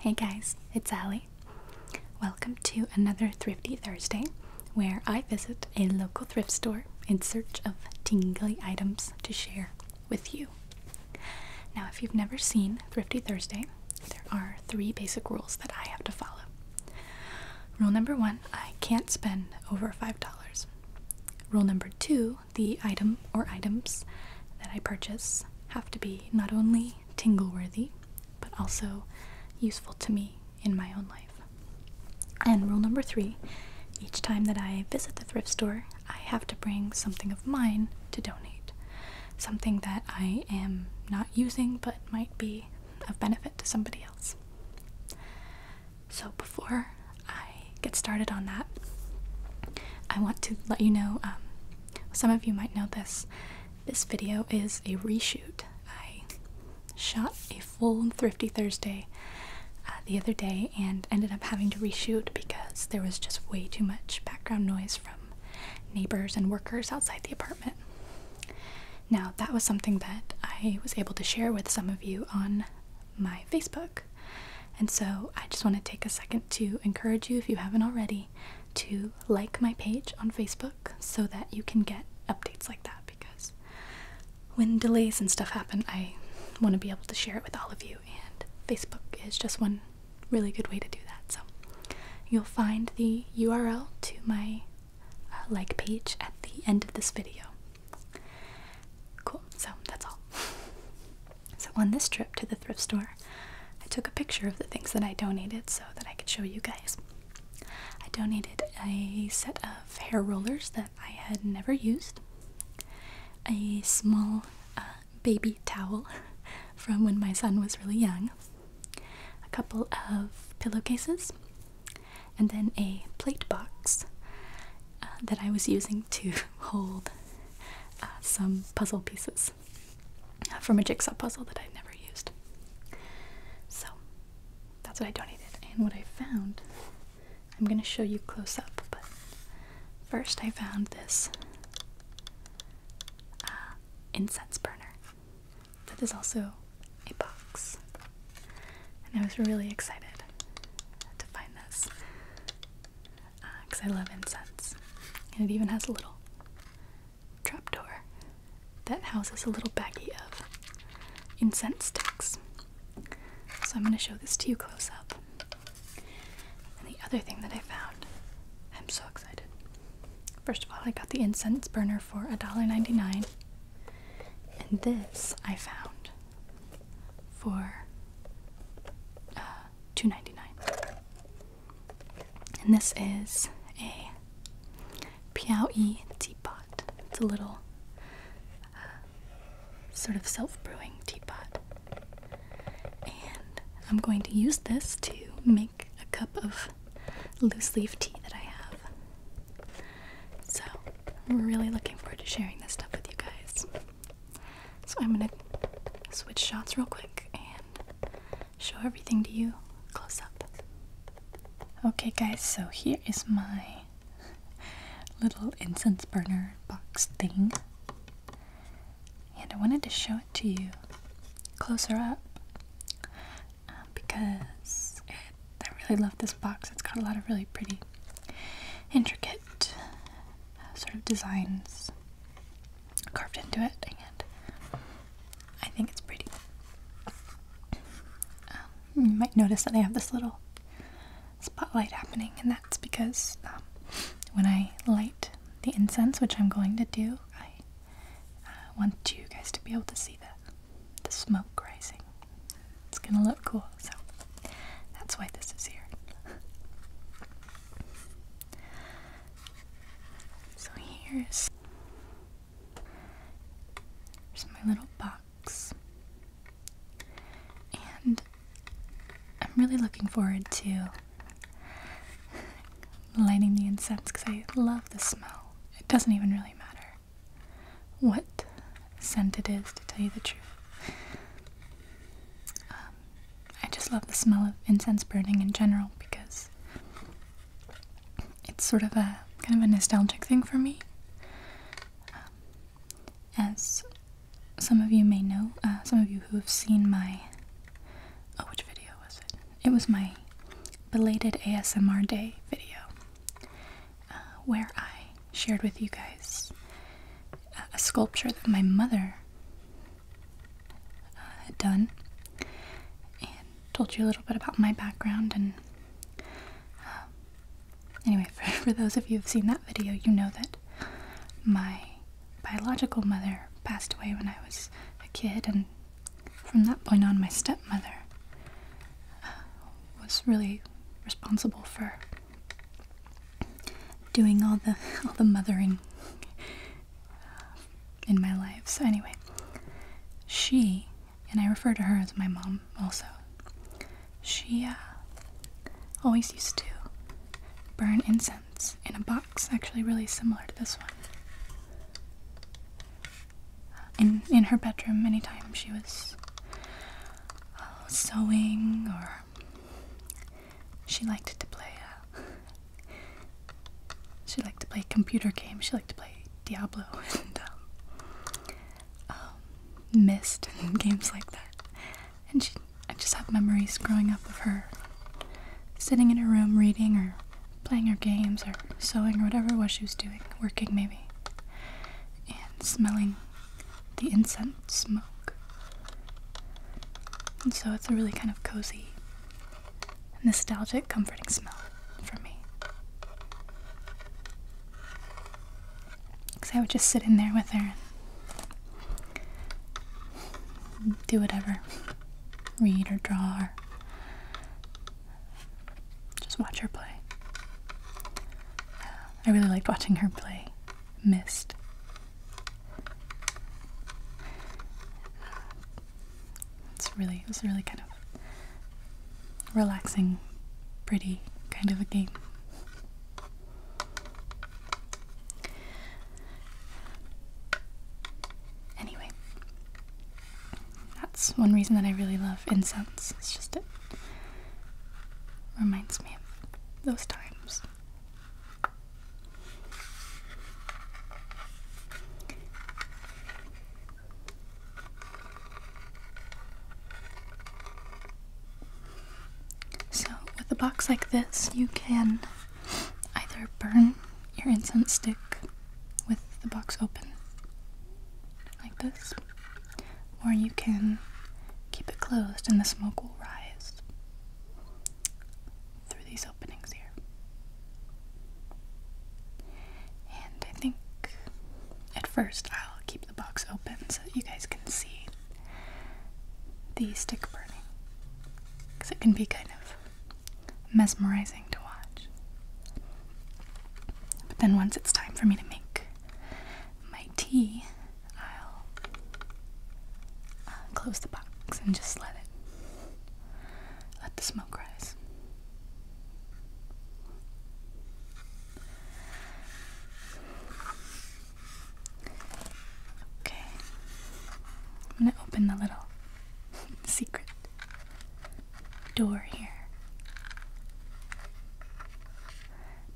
Hey guys, it's Ali. Welcome to another Thrifty Thursday where I visit a local thrift store in search of tingly items to share with you. Now, if you've never seen Thrifty Thursday, there are three basic rules that I have to follow. Rule number one I can't spend over $5. Rule number two the item or items that I purchase have to be not only tingle worthy, but also useful to me in my own life. And rule number three each time that I visit the thrift store, I have to bring something of mine to donate. Something that I am not using but might be of benefit to somebody else. So, before I get started on that, I want to let you know um, some of you might know this. This video is a reshoot. I shot a full Thrifty Thursday uh, the other day and ended up having to reshoot because there was just way too much background noise from neighbors and workers outside the apartment. Now, that was something that I was able to share with some of you on my Facebook. And so I just want to take a second to encourage you, if you haven't already, to like my page on Facebook so that you can get updates like that because when delays and stuff happen, I want to be able to share it with all of you, and Facebook is just one really good way to do that. So You'll find the URL to my uh, like page at the end of this video. Cool, so that's all. So, on this trip to the thrift store, I took a picture of the things that I donated so that I could show you guys. I donated a set of hair rollers that I had never used, a small uh, baby towel from when my son was really young, a couple of pillowcases, and then a plate box uh, that I was using to hold uh, some puzzle pieces from a jigsaw puzzle that I'd never used. So that's what I donated. And what I found, I'm going to show you close up, but first I found this uh, incense burner. That is also a box. And I was really excited to find this because uh, I love incense. And it even has a little trap door that houses a little baggie of incense sticks. So I'm going to show this to you close up. And the other thing that I found, I'm so excited, First of all, I got the incense burner for $1.99. And this I found for uh, $2.99. And this is a Piaui teapot. It's a little uh, sort of self brewing teapot. And I'm going to use this to make a cup of loose leaf tea that I have. So, I'm really looking forward to sharing this stuff with you guys. So, I'm gonna switch shots real quick and show everything to you close up. Okay, guys, so here is my little incense burner box thing. And I wanted to show it to you closer up um, because I really love this box. It's got a lot of really pretty, intricate uh, sort of designs carved into it, and I think it's pretty. Um, you might notice that I have this little spotlight happening, and that's because um, when I light the incense, which I'm going to do, I I want you guys to be able to see the, the smoke rising. It's gonna look cool, so that's why this is here. so here's here's my little box. And I'm really looking forward to lighting the incense because I love the smell. It doesn't even really matter what scent it is, to tell you the truth. Um, I just love the smell of incense burning in general because it's sort of a kind of a nostalgic thing for me. Um, as some of you may know, uh, some of you who have seen my. Oh, which video was it? It was my belated ASMR day video uh, where I shared with you guys uh, a sculpture that my mother uh, had done told you a little bit about my background and um, anyway for those of you who've seen that video you know that my biological mother passed away when I was a kid and from that point on, my stepmother uh, was really responsible for doing all the all the mothering uh, in my life. So anyway, she and I refer to her as my mom also. She uh, always used to burn incense in a box, actually really similar to this one in in her bedroom anytime she was uh, sewing or she liked to play uh, she liked to play computer games she liked to play diablo and um, um, and games like that and she i just have memories growing up of her sitting in her room reading or playing her games or sewing or whatever it was she was doing, working maybe, and smelling the incense smoke. And so it's a really kind of cozy, nostalgic, comforting smell for me. Because I would just sit in there with her and do whatever read or draw or just watch her play. I really liked watching her play Mist. It's really, it was really kind of relaxing, pretty kind of a game. Anyway, that's one reason that I really love incense. It just reminds me of those times. So, with a box like this, you can either burn your incense stick with the box open, like this, or you can keep it closed and the smoke will rise through these openings here. And I think at first I'll keep the box open so you guys can see the stick burning because it can be kind of mesmerizing to watch. But then once it's time for me to make my tea, I'll uh, close the box and just let it let the smoke rise. Okay. I'm going to open the little secret door here.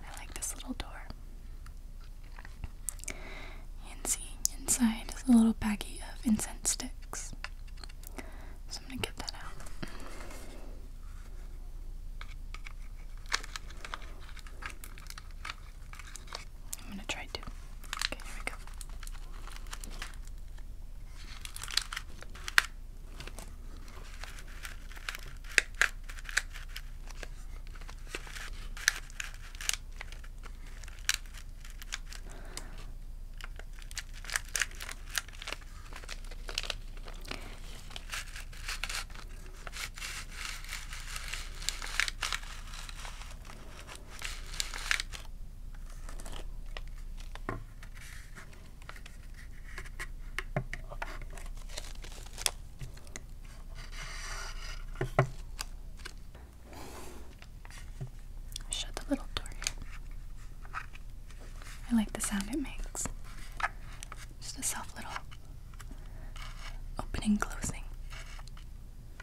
I like this little door. And see, inside is a little baggie of incense sticks. So I'm gonna get that out. I'm gonna try to. Okay, here we go. Shut the little door I like the sound it makes. Just a soft little opening, closing.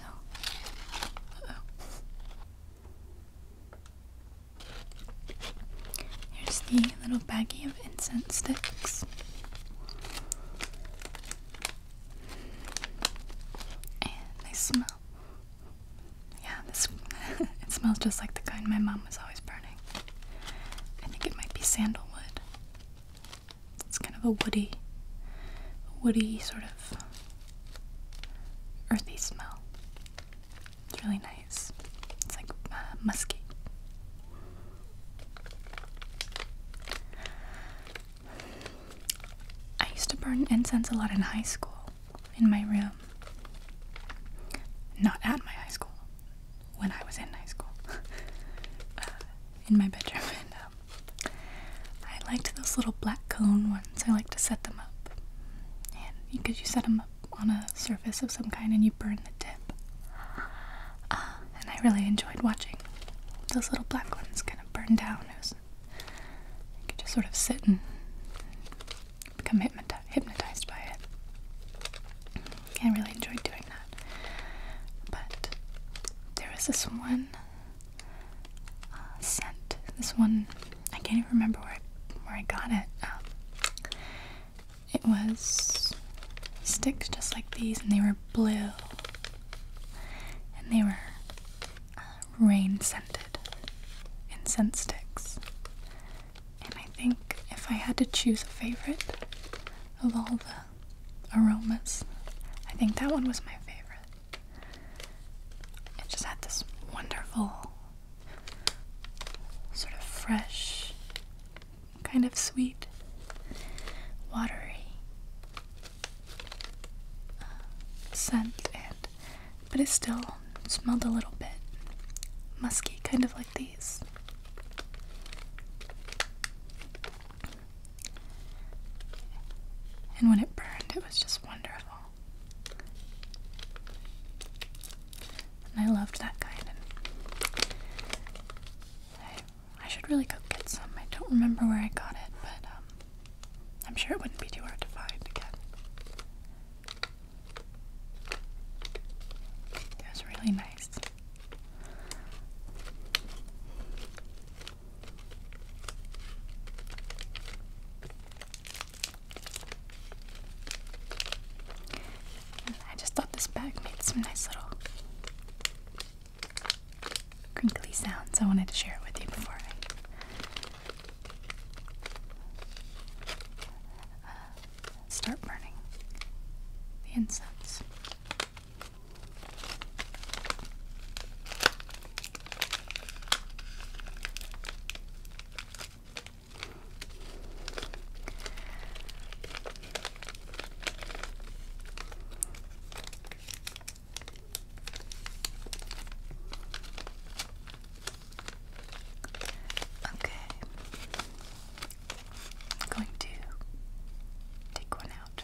so. Oh. Here's the little baggie of incense sticks. And they smell. Yeah, this it smells just like the kind my mom was always burning. I think it might be sandalwood. It's kind of a woody, woody sort of earthy smell. It's really nice. It's like uh, musky. I used to burn incense a lot in high school, in my room. Not at my high school, when I was in high school, uh, in my bedroom. Um, I liked those little black cone ones. I like to set them up. And because you, you set them up on a surface of some kind and you burn the tip. Ah, and I really enjoyed watching those little black ones kind of burn down. you could just sort of sit and become hypnotized by it. I really enjoyed doing that. But there was this one uh, scent. This one, I can't even remember where I, where I got it. Um, it was sticks just like these, and they were blue, and they were uh, rain scented incense sticks. And I think if I had to choose a favorite of all the aromas, I think that one was my favorite. It just had this wonderful, sort of fresh, kind of sweet, watery uh, scent, and but it still smelled a little bit musky, kind of like these. And when it burned, it was just wonderful. And I loved that kind. I, should really go get some. I don't remember where I got it, but um, I'm sure it wouldn't be too hard to find again. It was really nice. I just thought this bag made some nice little crinkly sounds. I wanted to share it with you before I. Uh, start burning the incense. Okay. I'm going to take one out.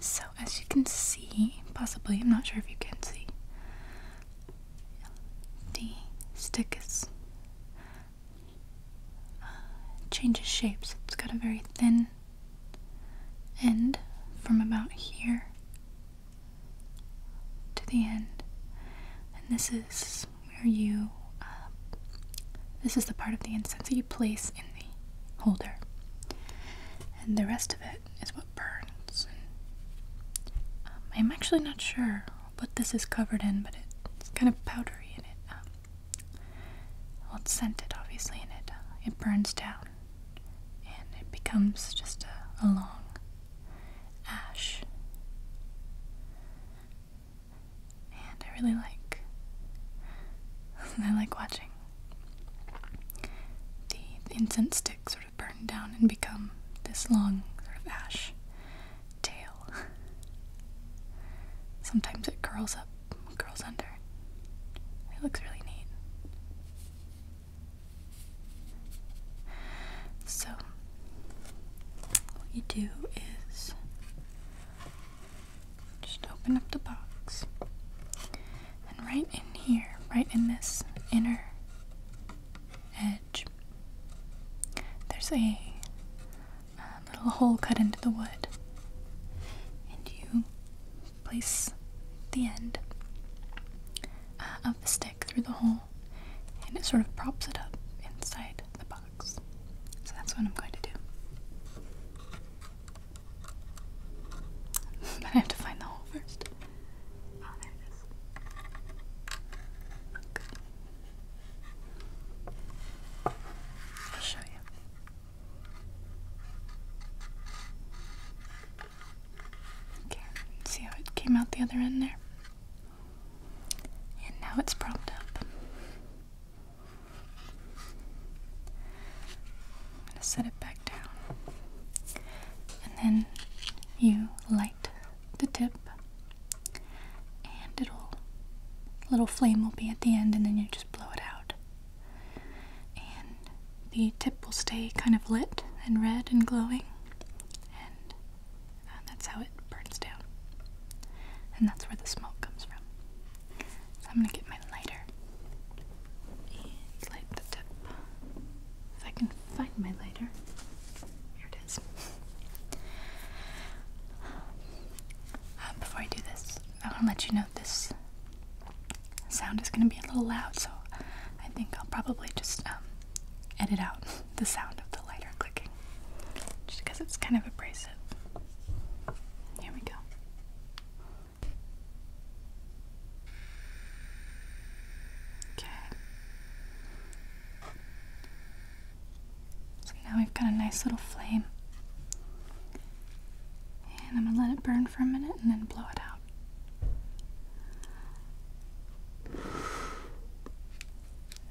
So, as you can see, possibly, I'm not sure if you can see, the stick is uh, changes shapes. It's got a very thin end from about here to the end, and this is where you. Uh, this is the part of the incense that you place in holder. And the rest of it is what burns. I'm actually not sure what this is covered in, but it's kind of powdery in it, um, well, it's scented obviously, in it uh, it burns down, and it becomes just a long ash. And I really like, I like watching the incense sticks sort of burn down and become this long sort of ash tail. Sometimes it curls up, curls under. It looks really neat. So, what you do is just open up the box. And right in here, right in this inner edge, there's a, little hole cut into the wood. And you place the end uh, of the stick through the hole, and it sort of props it up inside the box. So that's what I'm going to do. I have to find the hole first. Oh, I'll show you. Okay, see how it came out the other end there? And now it's propped up. I'm going to set it back down. And then you light the tip, and it'll, little flame will be at the end, and then you just blow it out. And the tip will stay kind of lit and red and glowing, and uh, that's how it burns down. And that's where the smoke comes from. I'm gonna get my lighter and light the tip. If I can find my lighter, here it is. Um, before I do this, I want to let you know this sound is gonna be a little loud, so I think I'll probably just um, edit out the sound of the lighter clicking, just because it's kind of abrasive. Here we go. Okay. So now we've got a nice little flame. And I'm going to let it burn for a minute and then blow it out.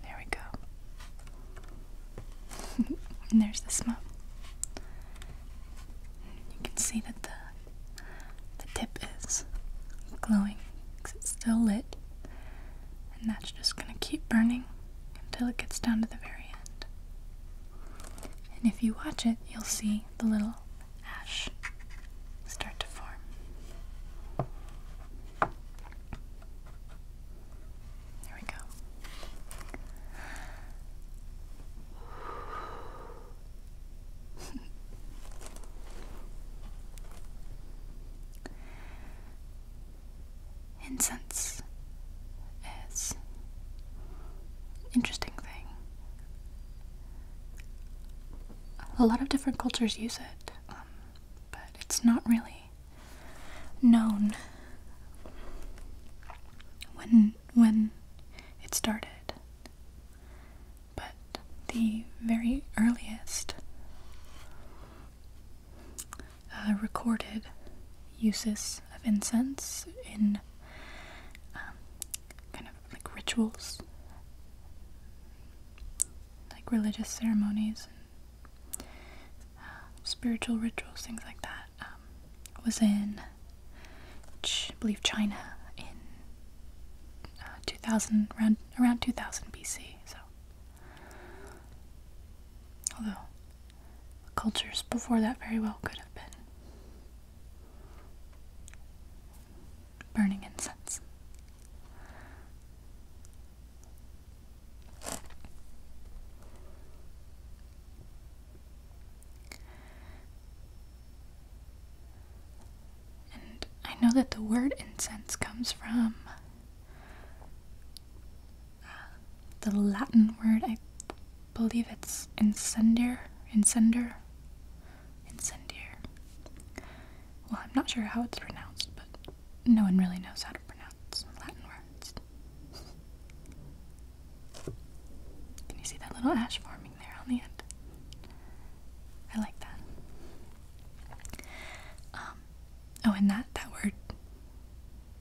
There we go. and there's the smoke. You can see that the the tip is glowing because it's still lit, and that's just gonna keep burning until it gets down to the very end. And if you watch it, you'll see the little ash start to form. Incense is interesting thing. A lot of different cultures use it, um, but it's not really known. When when it started. But the very earliest uh, recorded uses of incense in um, kind of like rituals, like religious ceremonies uh, spiritual rituals, things like that. Um, was in, I believe, China in uh, 2000, around, around 2000 BC. So, although cultures before that very well could have been burning incense. And I know that the word incense comes from uh, the Latin word, I believe it's incendiar, incendiar, incendiar. Well, I'm not sure how it's pronounced, but no one really knows how to pronounce Latin words. Can you see that little ash forming there on the end? I like that. Um, oh, and that, that word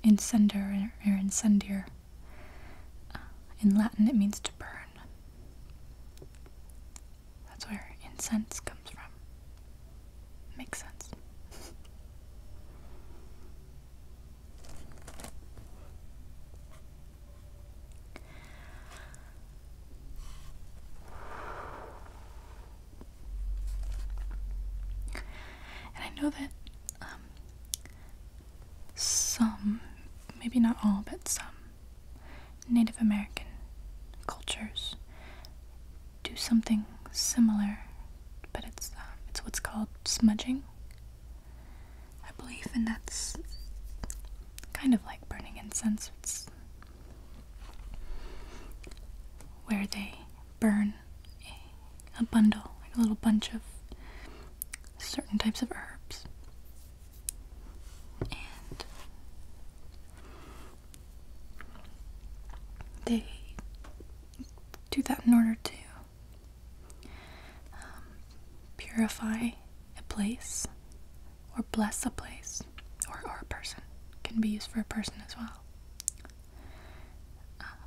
incendiar or incendiar. Uh, in Latin, it means to burn. That's where incense comes from. Makes sense. And I know that um, some, maybe not all, but some Native American cultures do something similar, but it's um, it's what's called smudging. I believe, and that's kind of like burning incense. It's where they burn a, a bundle, like a little bunch of certain types of herbs. And they do that in order to um, purify a place or bless a place or, or a person can be used for a person as well uh,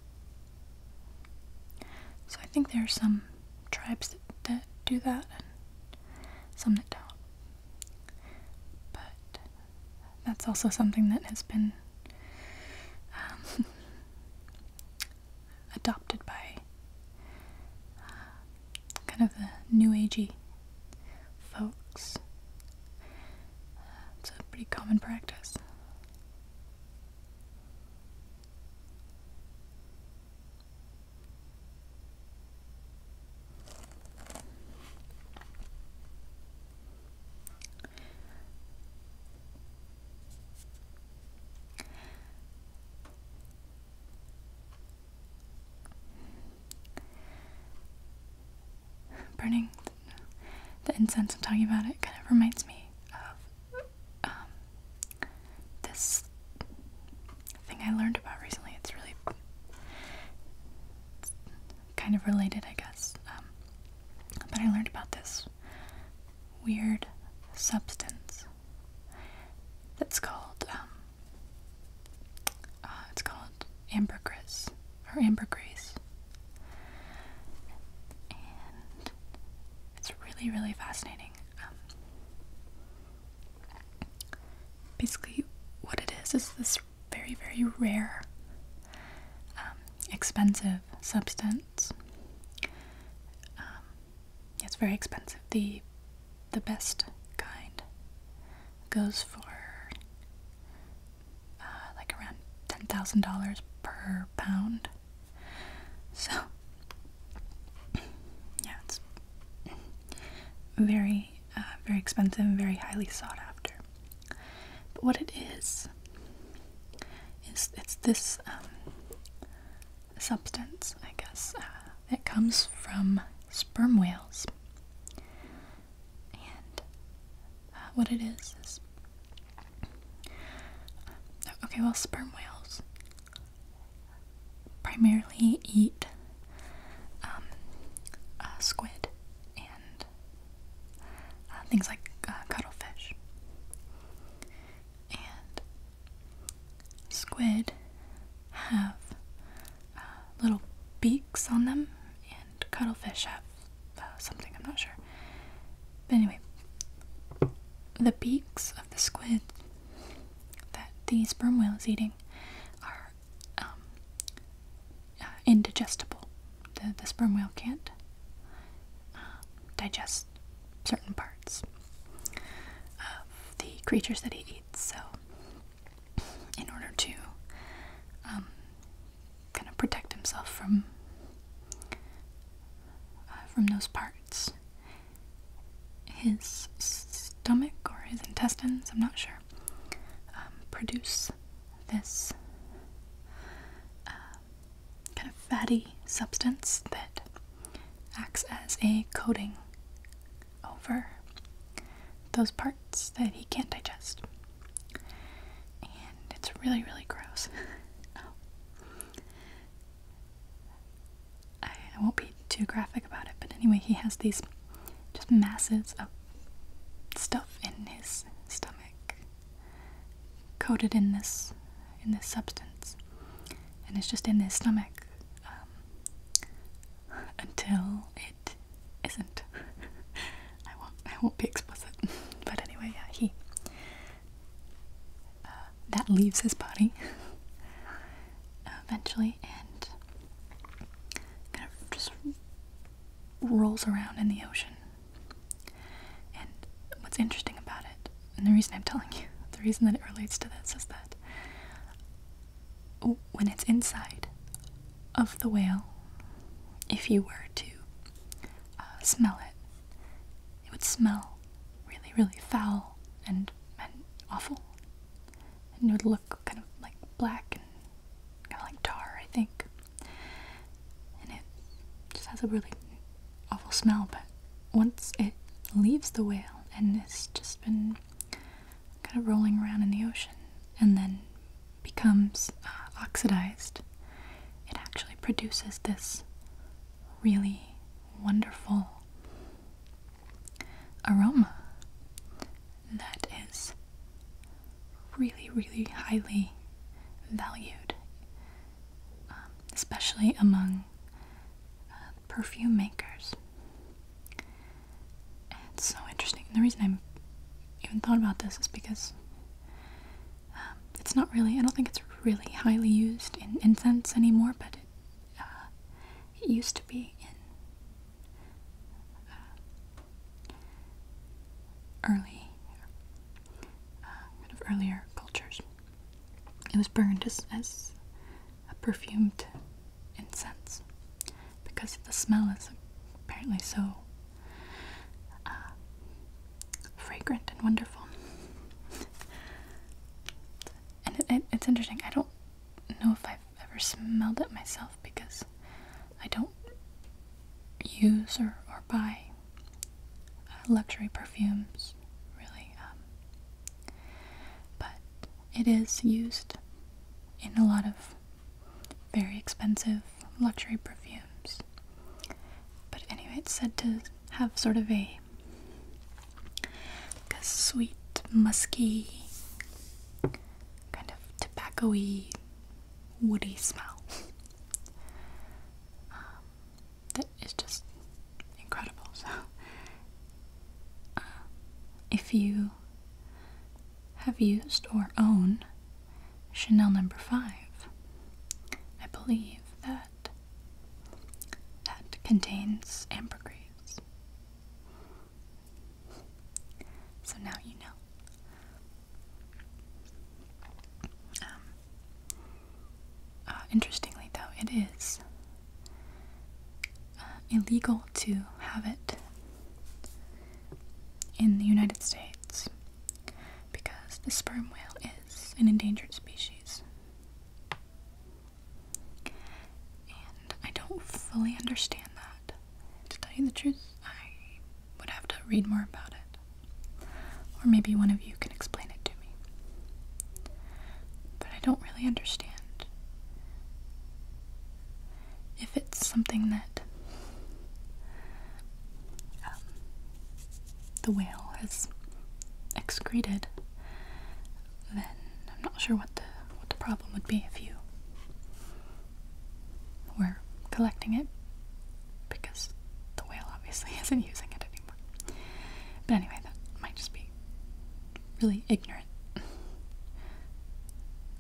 so i think there are some tribes that, do that and some that don't but that's also something that has been um, adopted by uh, kind of the new agey folks. Uh, it's a pretty common practice. Burning the incense I'm talking about, it kind of reminds me of um, this thing I learned about recently. It's really kind of related, I guess. Um, but I learned about this weird substance that's called um, uh, it's called ambergris or ambergris and it's really really fascinating um, basically what it is is this very very rare um, expensive substance um, it's very expensive. The the best kind goes for uh, like around ten thousand dollars per pound. So yeah, it's very uh, very expensive and very highly sought after. But what it is it's, it's this um, substance, I guess, uh, that comes from sperm whales. And uh, what it is is. Okay, well, sperm whales primarily eat um, squid and uh, things like uh, cuttlefish and squid have uh, little beaks on them and cuttlefish have something i'm not sure but anyway the beaks of the squid that these sperm whales is eating are um, indigestible the, the sperm whale can't digest certain parts of the creatures that he eats. So, in order to um, kind of protect himself from uh, from those parts, his stomach or his intestines, I'm not sure, um, produce this. Uh, kind of fatty substance that acts as a coating over those parts that he can't digest. And it's really, really gross. I won't be too graphic about it, but anyway, he has these just masses of stuff in his stomach coated in this in this substance, and it's just in their stomach um, until it isn't. I won't. I won't be explicit. but anyway, yeah, he uh, that leaves his body eventually, and kind of just rolls around in the ocean and what's interesting about it, and the reason I'm telling you, the reason that it relates to this is that when it's inside of the whale, if you were to uh, smell it, it would smell really, really foul and awful. And it would look kind of like black and kind of like tar, I think and it just has a really awful smell. But once it leaves the whale and it's just been kind of rolling around in the ocean and then becomes uh, oxidized, it actually produces this really wonderful aroma that is really, really highly valued um, especially among uh, perfume makers. it's so interesting. And the reason i even thought about this is because um, it's not really. I don't think it's really highly used in incense anymore, but it, uh, used to be in uh, early uh, of earlier cultures. It was burned as, a perfumed incense because the smell is apparently so uh, fragrant and wonderful. and it's interesting, I don't know if I've ever smelled it myself because I don't use or, or buy uh, luxury perfumes, really. Um, but it is used in a lot of very expensive luxury perfumes. But anyway, it's said to have sort of a, sweet, musky, kind of tobacco-y, woody smell. Um, that is just incredible. So, uh, if you have used or own Chanel number five, I believe that that contains ambergris. So now you know. Um, uh, interestingly, though, it is uh, illegal to have it in the United States because the sperm whale is an endangered species. And I don't fully understand that. To tell you the truth, I would have to read more about it. Or maybe one of you can explain it to me. But I don't really understand if it's something that um, the whale has excreted, then I'm not sure what the what the problem would be if you were collecting it because the whale obviously isn't using it anymore. But anyway, that might just be really ignorant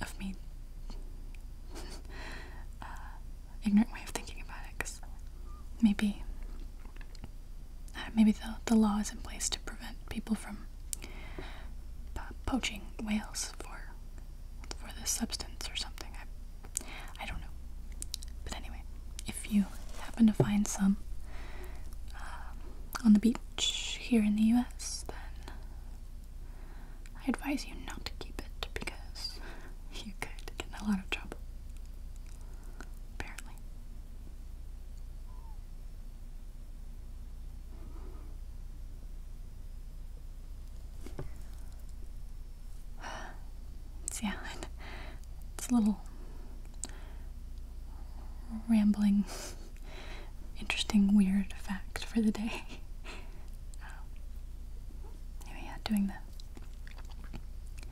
of me. Uh, ignorant way of thinking about it, because maybe uh, maybe the the law is in place to prevent people from uh, poaching whales for for this substance or something. I don't know. But anyway, if you happen to find some uh, on the beach here in the US, then I advise you not to keep it because you could get in a lot of trouble. Apparently. It's, yeah, it's a little rambling, interesting, weird fact for the day. Oh. anyway, yeah, doing the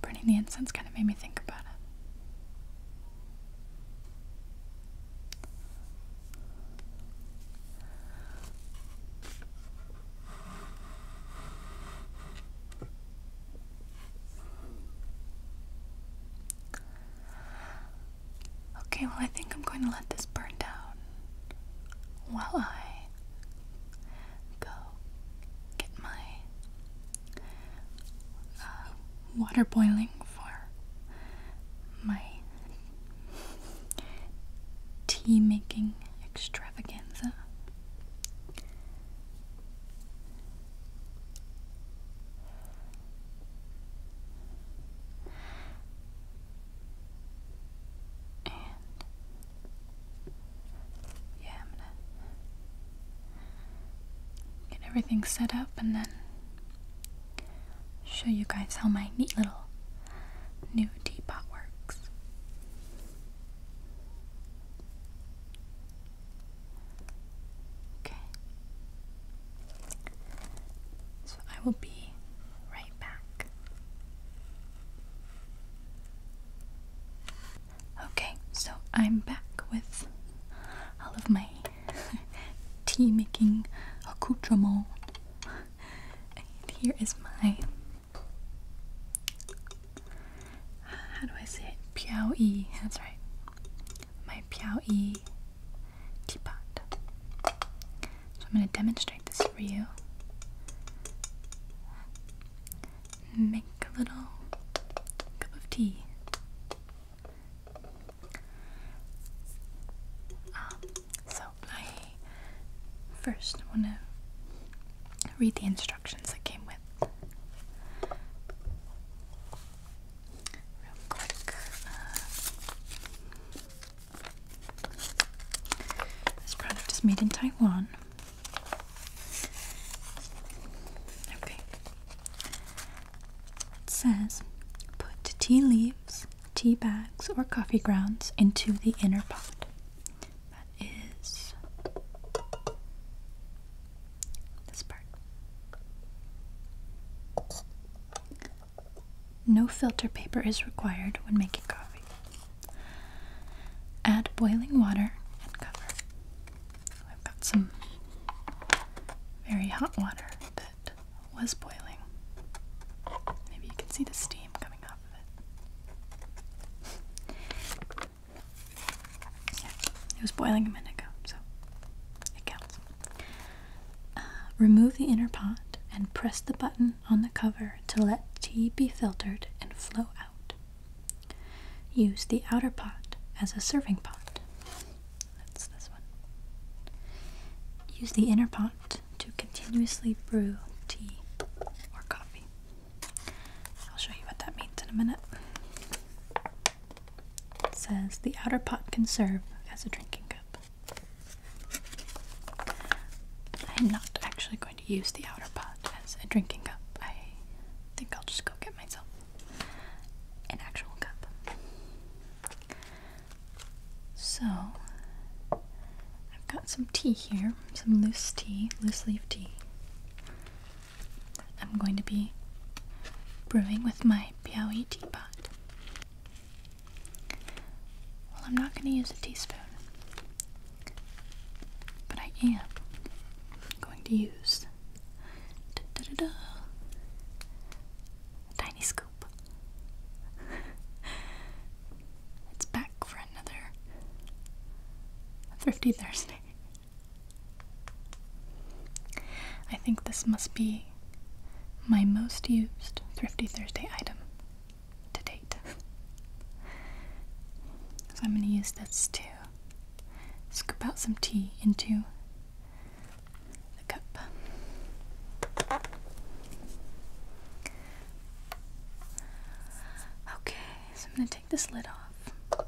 burning the incense kind of made me think about it. Okay, well, I think I'm going to let this burn down while I go get my uh, water boiling for my tea making extravaganza. yeah, I'm gonna get everything set up and then show you guys how my neat little new teapot works. Okay. So I will be right back. Okay, so I'm back with all of my tea making accoutrement. And here is my how do I say it? Piao Yi. That's right. My Piao Yi teapot. So I'm going to demonstrate this for you. Make a little cup of tea. Um, so I first want to read the instructions that came with. Real quick. Uh, this product is made in Taiwan. Okay. It says put tea leaves, tea bags, or coffee grounds into the inner pot. That is this part. No filter paper is required when making coffee. Add boiling water and cover. I've got some very hot water that was boiling. Maybe you can see the steam coming up it. was boiling a minute ago, so it counts. Uh, remove the inner pot and press the button on the cover to let tea be filtered and flow out. Use the outer pot as a serving pot. That's this one. Use the inner pot to continuously brew tea or coffee. I'll show you what that means in a minute. It says the outer pot can serve as a drinking cup. I'm not actually going to use the outer pot as a drinking cup. I think I'll just go get myself an actual cup. So, I've got some tea here some loose tea, loose leaf tea. I'm going to be brewing with my Piaui teapot. Well, I'm not going to use a teaspoon, but I am going to use a tiny scoop. it's back from another Thrifty Thursday. I think this must be my most used Thrifty Thursday item to date. so I'm going to use this to scoop out some tea into the cup. Okay, so I'm going to take this lid off.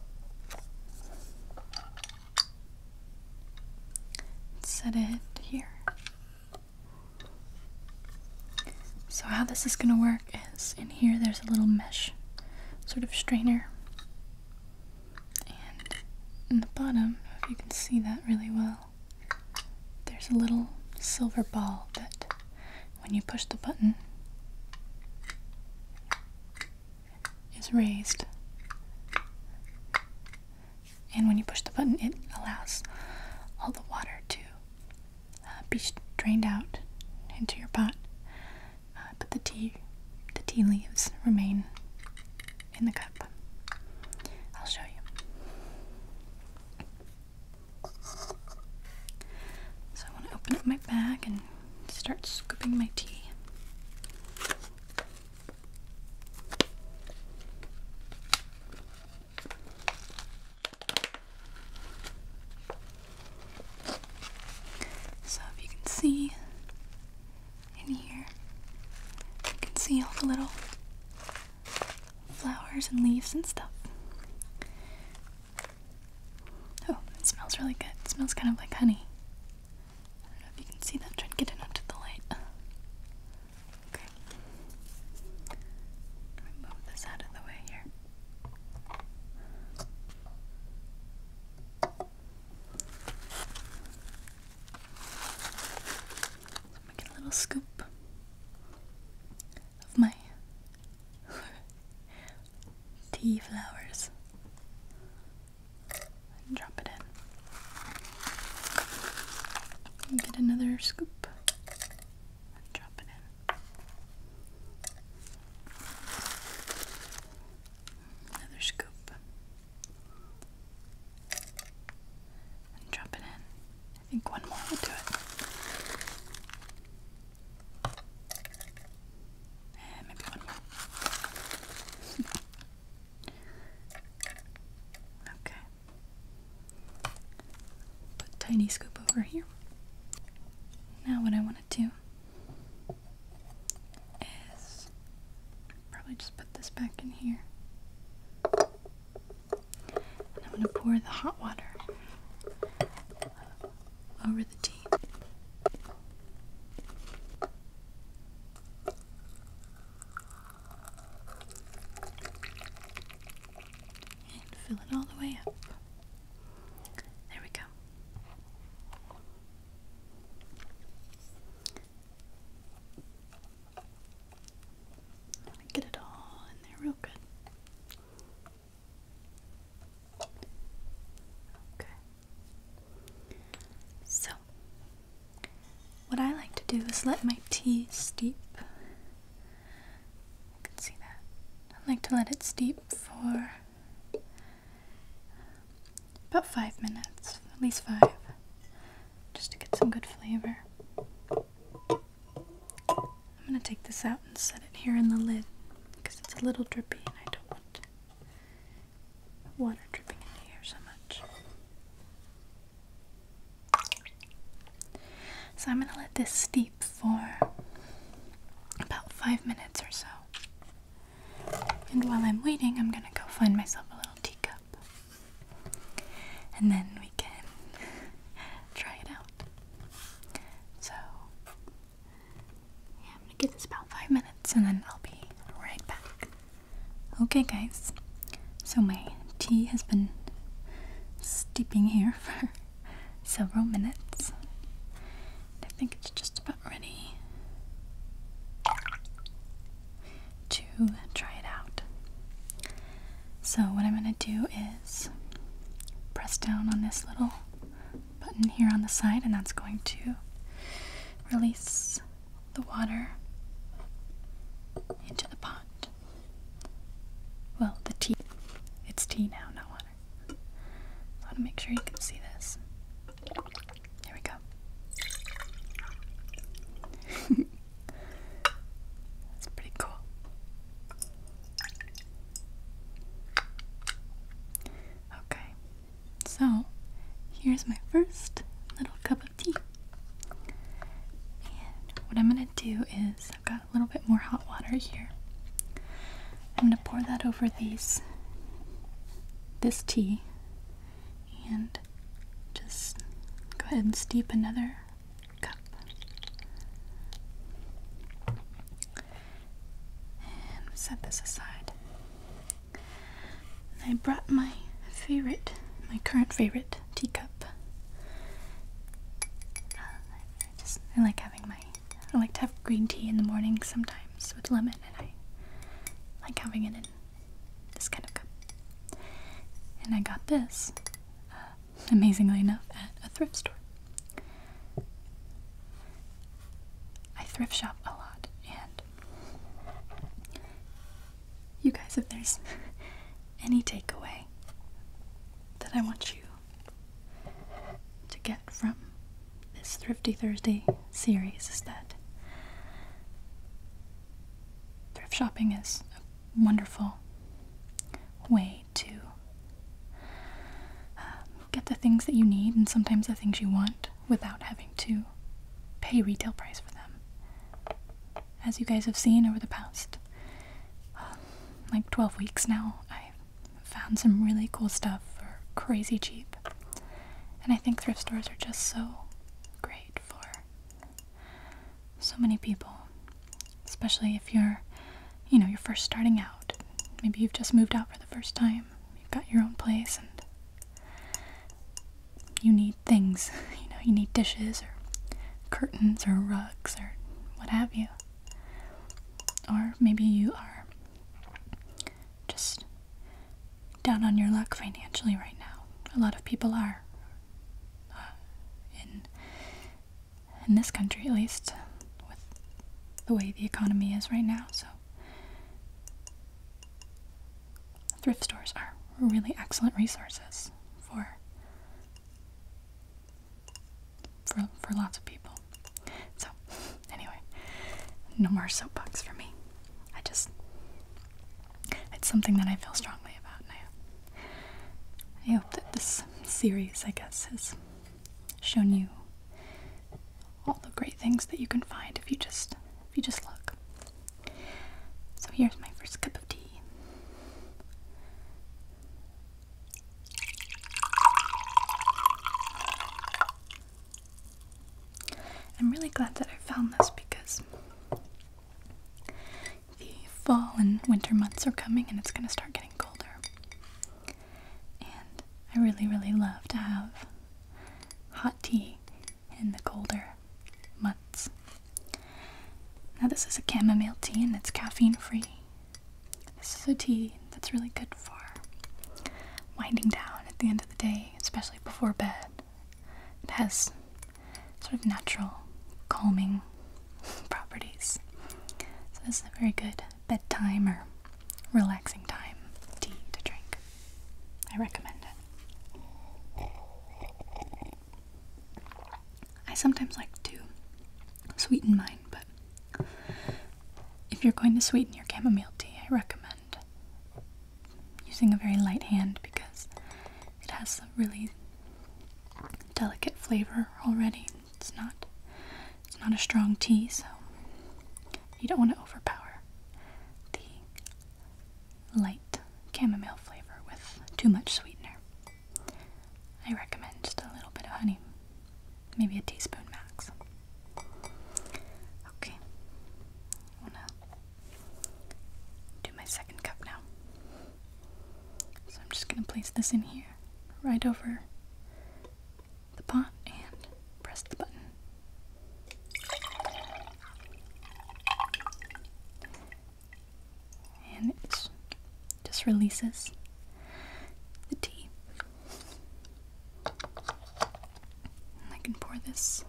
Set it here. So, how this is going to work is in here there's a little mesh sort of strainer. And in the bottom, if you can see that really well, there's a little silver ball that when you push the button is raised and when you push the button it allows all the water to uh, be drained out into your pot uh, but the tea the tea leaves remain in the cup I'll show you so I want to open up my bag and start scooping my tea. So if you can see in here, you can see all the little flowers and leaves and stuff. Oh, it smells really good. It smells kind of like honey. I don't know if you can see that. Try to get it onto the light. Okay. Move this out of the way here. So make a little scoop of my tea flowers drop it in. get another scoop drop it in. Another scoop. drop it in. I think one more will do it. Eh, maybe one more. okay. Put tiny scoop over here. Now what I want to do is probably just put this back in here. And I'm going to pour the hot water over the tea. And fill it all the way up. There we go. Get it all in there real good. Okay. So, what I like to do is let my tea steep. You can see that. I like to let it steep for about five minutes, at least five, just to get some good flavor. I'm going to take this out and set it here in the lid because it's a little drippy and I don't want water dripping into here so much. So I'm going to let this steep for about five minutes or so. And while I'm waiting, I'm going to go find myself a little teacup. And then we can try it out. So, yeah, I'm gonna give this about five minutes and then I'll be right back. Okay, guys, so my tea has been steeping here for several minutes. I think it's just about ready to try it out. So, what I'm going to do is press down on this little button here on the side, and that's going to release the water into the pot. Well, the tea. It's tea now, not water. I want to make sure you can see this. There we go. That's pretty cool. Okay, so here's my first little cup of tea. And what I'm gonna do is, I've got a little bit more hot water here. I'm gonna pour that over these, this tea, and just go ahead and steep another cup. And set this aside. I brought my favorite, my current favorite teacup. I just I like having my I like to have green tea in the morning sometimes with lemon, and I like having it in this kind of cup. And I got this uh, amazingly enough, at a thrift store. I thrift shop a lot, and you guys, if there's any takeaway that I want you to get from this Thrifty Thursday series, is that thrift shopping is a wonderful way to um, get the things that you need and sometimes the things you want without having to pay retail price for them. As you guys have seen over the past um, like 12 weeks now, I found some really cool stuff for crazy cheap. And I think thrift stores are just so great for so many people, especially if you're, you know, you're first starting out. Maybe you've just moved out for the first time. You've got your own place and you need things. You know, you need dishes or curtains or rugs or what have you. Or maybe you are just down on your luck financially right now. A lot of people are uh, in in this country at least with the way the economy is right now so thrift stores are really excellent resources for for, lots of people so anyway no more soapbox for me i just it's something that i feel strongly about now I hope that this series, I guess, has shown you all the great things that you can find if you just if you just look. So here's my first cup of tea. I'm really glad that I found this because the fall and winter months are coming and it's going to start getting colder. And I really, really love to have hot tea in the colder months. Now, this is a chamomile tea and it's caffeine free. This is a tea that's really good for winding down at the end of the day, especially before bed. It has sort of natural calming properties. So, this is a very good bedtime or relaxing time tea to drink. I recommend it. I sometimes like to sweeten mine, but if you're going to sweeten your chamomile tea, I recommend using a very light hand because it has a really delicate flavor already. It's not it's not a strong tea, so you don't want to overpower the light chamomile flavor with too much sweetener. I recommend just a little bit of honey, maybe a teaspoon max. Okay, I wanna do my second cup now. So I'm just going to place this in here, right over the pot, and press the button. And it just releases the tea. I can pour this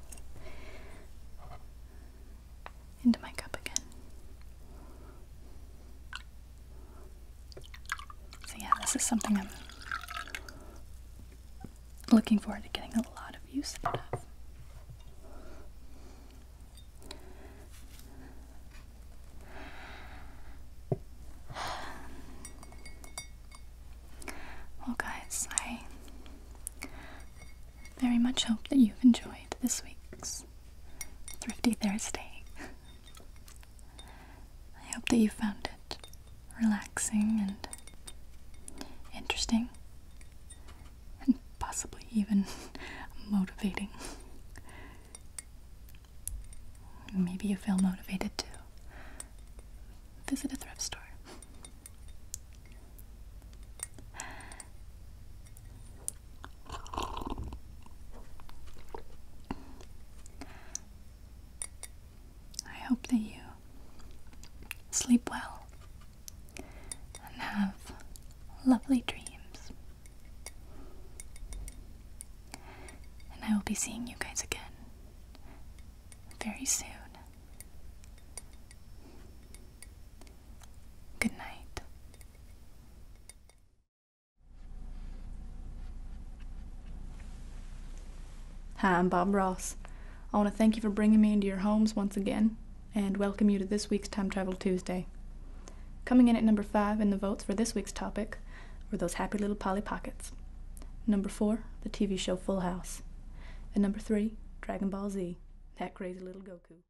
into my cup again. So yeah, this is something I'm looking forward to getting a lot of use out of. Well guys, I very much hope that you've enjoyed this week's Thrifty Thursday. I hope that you found it relaxing and interesting, and possibly even motivating. Maybe you feel motivated to visit a thrift store. I hope that you sleep well and have lovely dreams. And I will be seeing you guys again very soon. Good night. Hi, I'm Bob Ross. I want to thank you for bringing me into your homes once again and welcome you to this week's Time Travel Tuesday. Coming in at number five in the votes for this week's topic were those happy little Polly Pockets. Number four, the TV show Full House. And number three, Dragon Ball Z, that crazy little Goku.